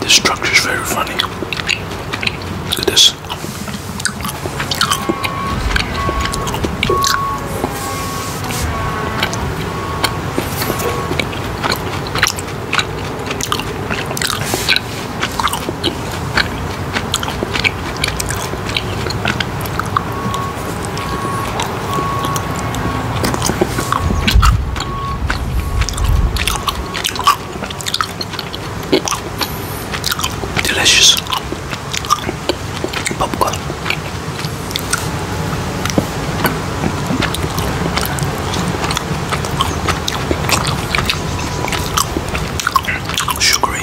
This structure is very funny. Look at this. Delicious popcorn. Sugary.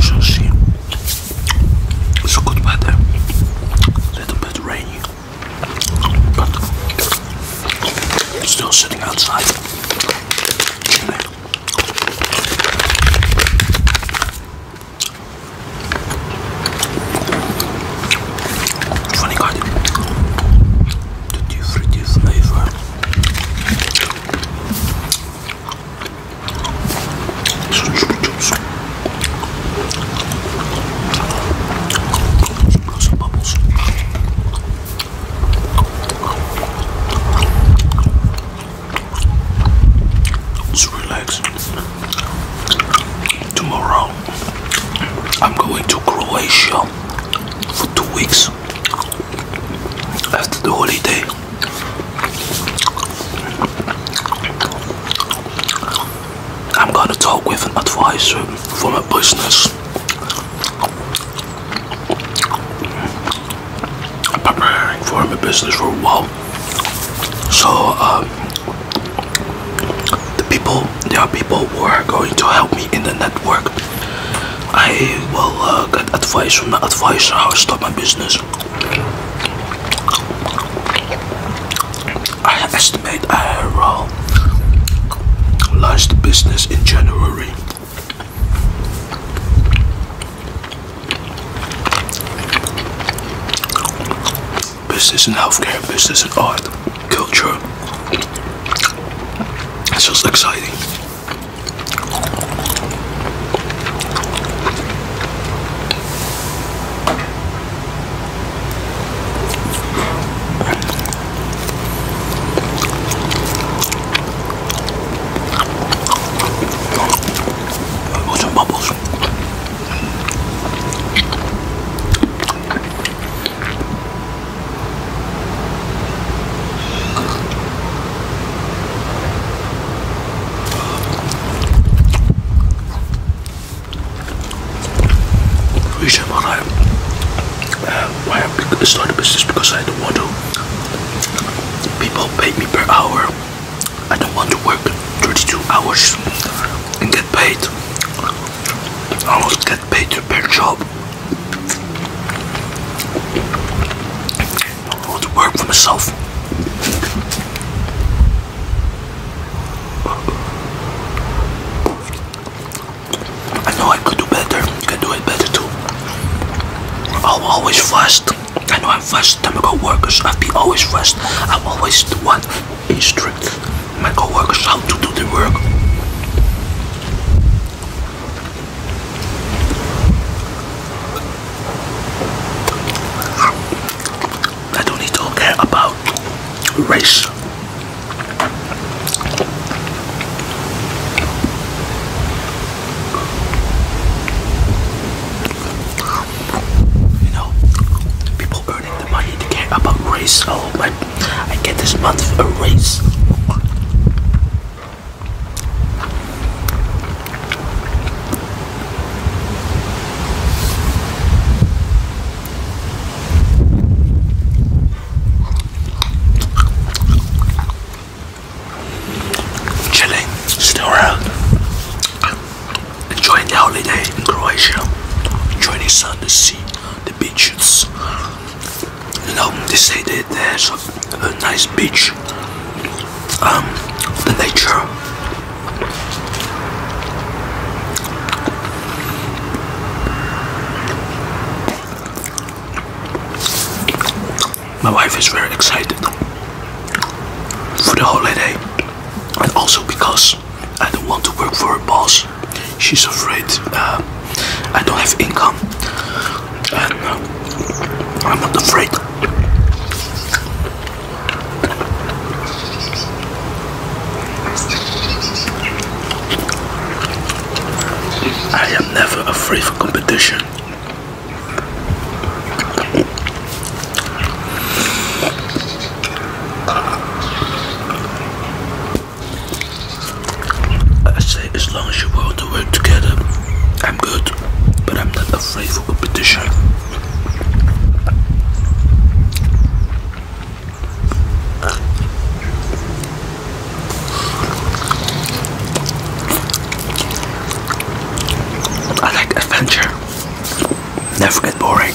Sushi. It's good weather. little bit rainy. But still sitting outside. Funny God. The different flavor. Lots So relax. Tomorrow I'm going to Croatia for two weeks after the holiday. I'm gonna talk with an advisor for my business. preparing for my business for a while. So, um, the people there are people who are going to help me in the network i will uh, get advice from the advisor how to start my business i estimate i will uh, launch the business in january business and healthcare, business and art, culture. It's just exciting. Lots of bubbles reason why I, uh, why I started business because I don't want to. People pay me per hour. I don't want to work 32 hours and get paid. I almost get paid per job. I want to work for myself. I know I could do better. I can do it better too. I'm always fast. I know I'm fast. Time go workers. I've been always fast. I'm always the one instruct my coworkers how to do the work. I don't need to care about race. You know, people about race. Oh, my, I get this month a race. Chilling, still around enjoying the holiday in Croatia, enjoying the sun, the sea, the beaches. You know, they say that there's a, nice beach, um, the nature. My wife is very excited for the holiday and also because I don't want to work for a boss. She's afraid uh, I don't have income. And uh, I'm not afraid. I am never afraid for competition. I say as long as you want to work together, I'm good, but I'm not afraid for competition. I like adventure. Never get boring.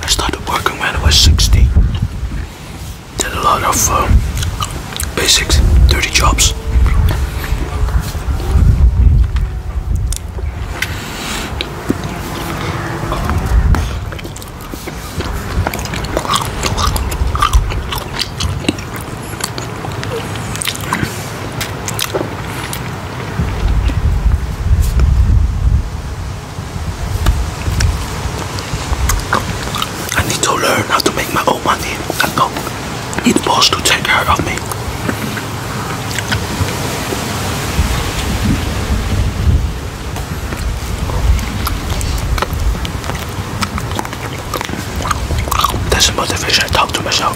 I started working when I was 16. Did a lot of um, basic, dirty jobs. I need to learn how to make my own money and not need the boss to take care of me. That's motivation I talk to myself.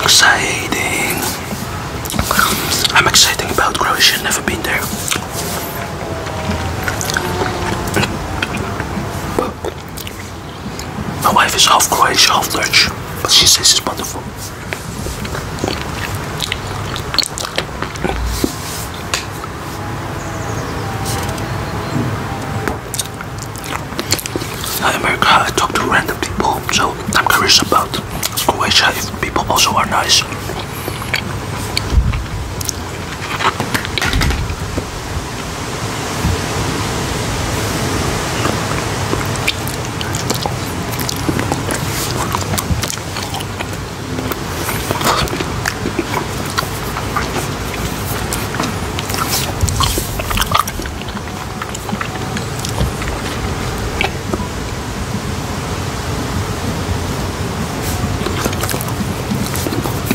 Exciting. I'm excited about Croatia, never been there. My wife is half Croatian, half Dutch, but she says it's wonderful. In America, I talk to random people, so I'm curious about Croatia if people also are nice.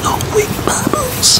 No weak bubbles.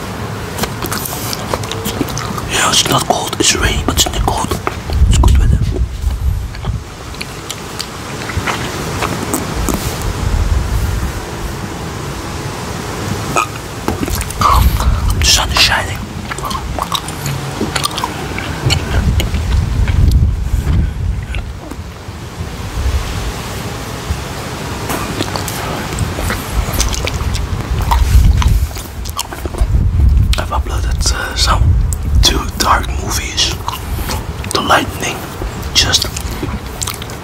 Yeah, it's not cold, it's raining, but it's not cold. It's good weather. The sun is shining. I've uploaded uh, some two dark movies. The lightning, just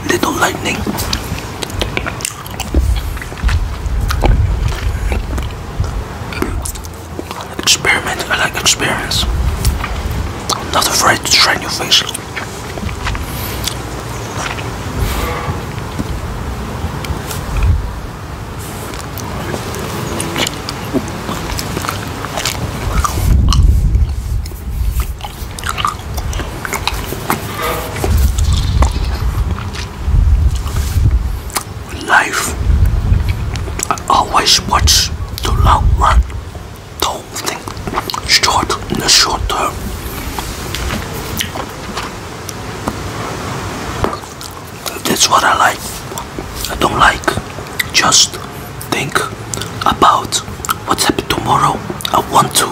little lightning. Experiment, I like experiments. not afraid to try new things life. always watch the long run. Don't think short in the short term. That's what I like. I don't like. Just think about what's happening tomorrow. I want to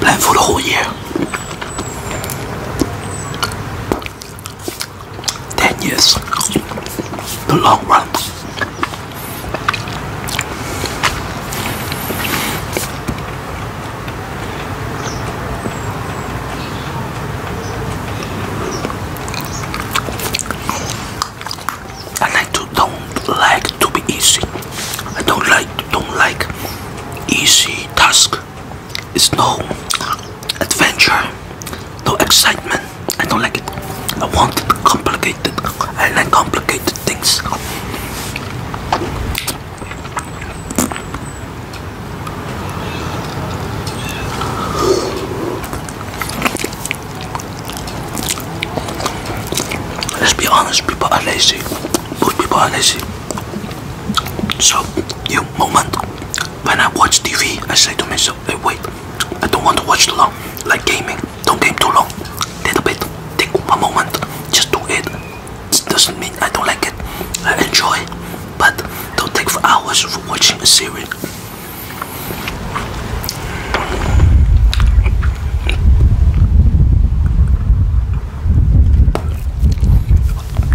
plan for the whole year. 10 years. The long run. And I do, don't like to be easy. I don't like don't like easy task. It's no adventure, no excitement. I don't like it. I want complicated. I like complicated things. Let's be honest, people are lazy. Most people are lazy. So, you moment when I watch TV, I say to myself, hey, wait, I don't want to watch too long. Like gaming, don't game too long. Take a bit, take one moment, just do it. It doesn't mean I don't like it. I enjoy it, but don't take for hours for watching a series.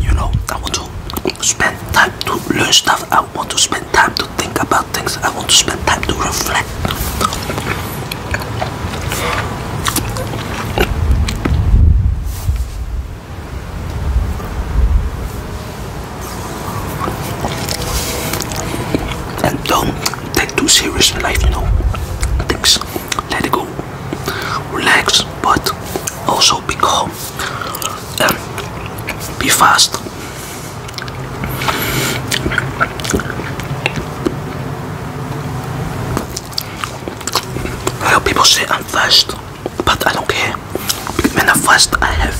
You know, I want to spend time to learn stuff. I want to spend time to think about things. I want to spend time to reflect. And don't take too serious life, you know. Things, let it go. Relax, but also be calm and be fast. I know people say I'm fast, but I don't care. When I'm fast, I have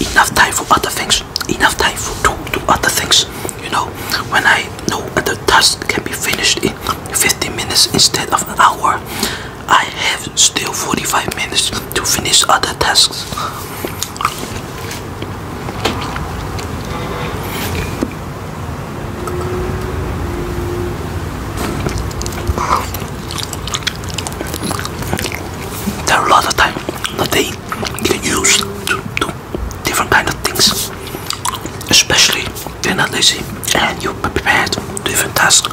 enough time for other things, enough time to do other things. You know, when I know other tasks can be finished in 15 minutes instead of an hour, I have still 45 minutes to finish other tasks. There are a lot of times that they get used to do different kind of things, especially they're not lazy and you prepared different tasks.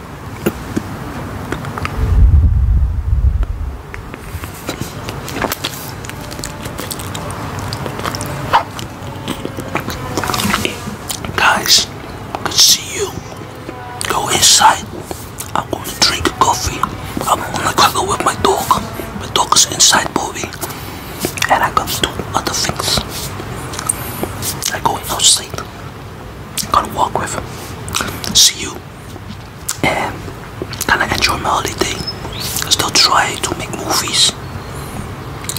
Guys, I see you. Go inside. I'm going to drink coffee. I'm going to cuddle with my dog. My dog is inside moving. And I can do other things. I go outside gonna walk with see you and kind of enjoy my holiday I still try to make movies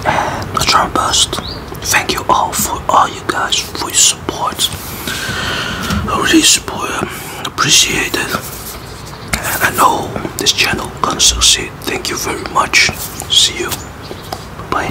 and um, I try my best thank you all for all you guys for your support I really support um, appreciate it and I know this channel gonna succeed thank you very much see you bye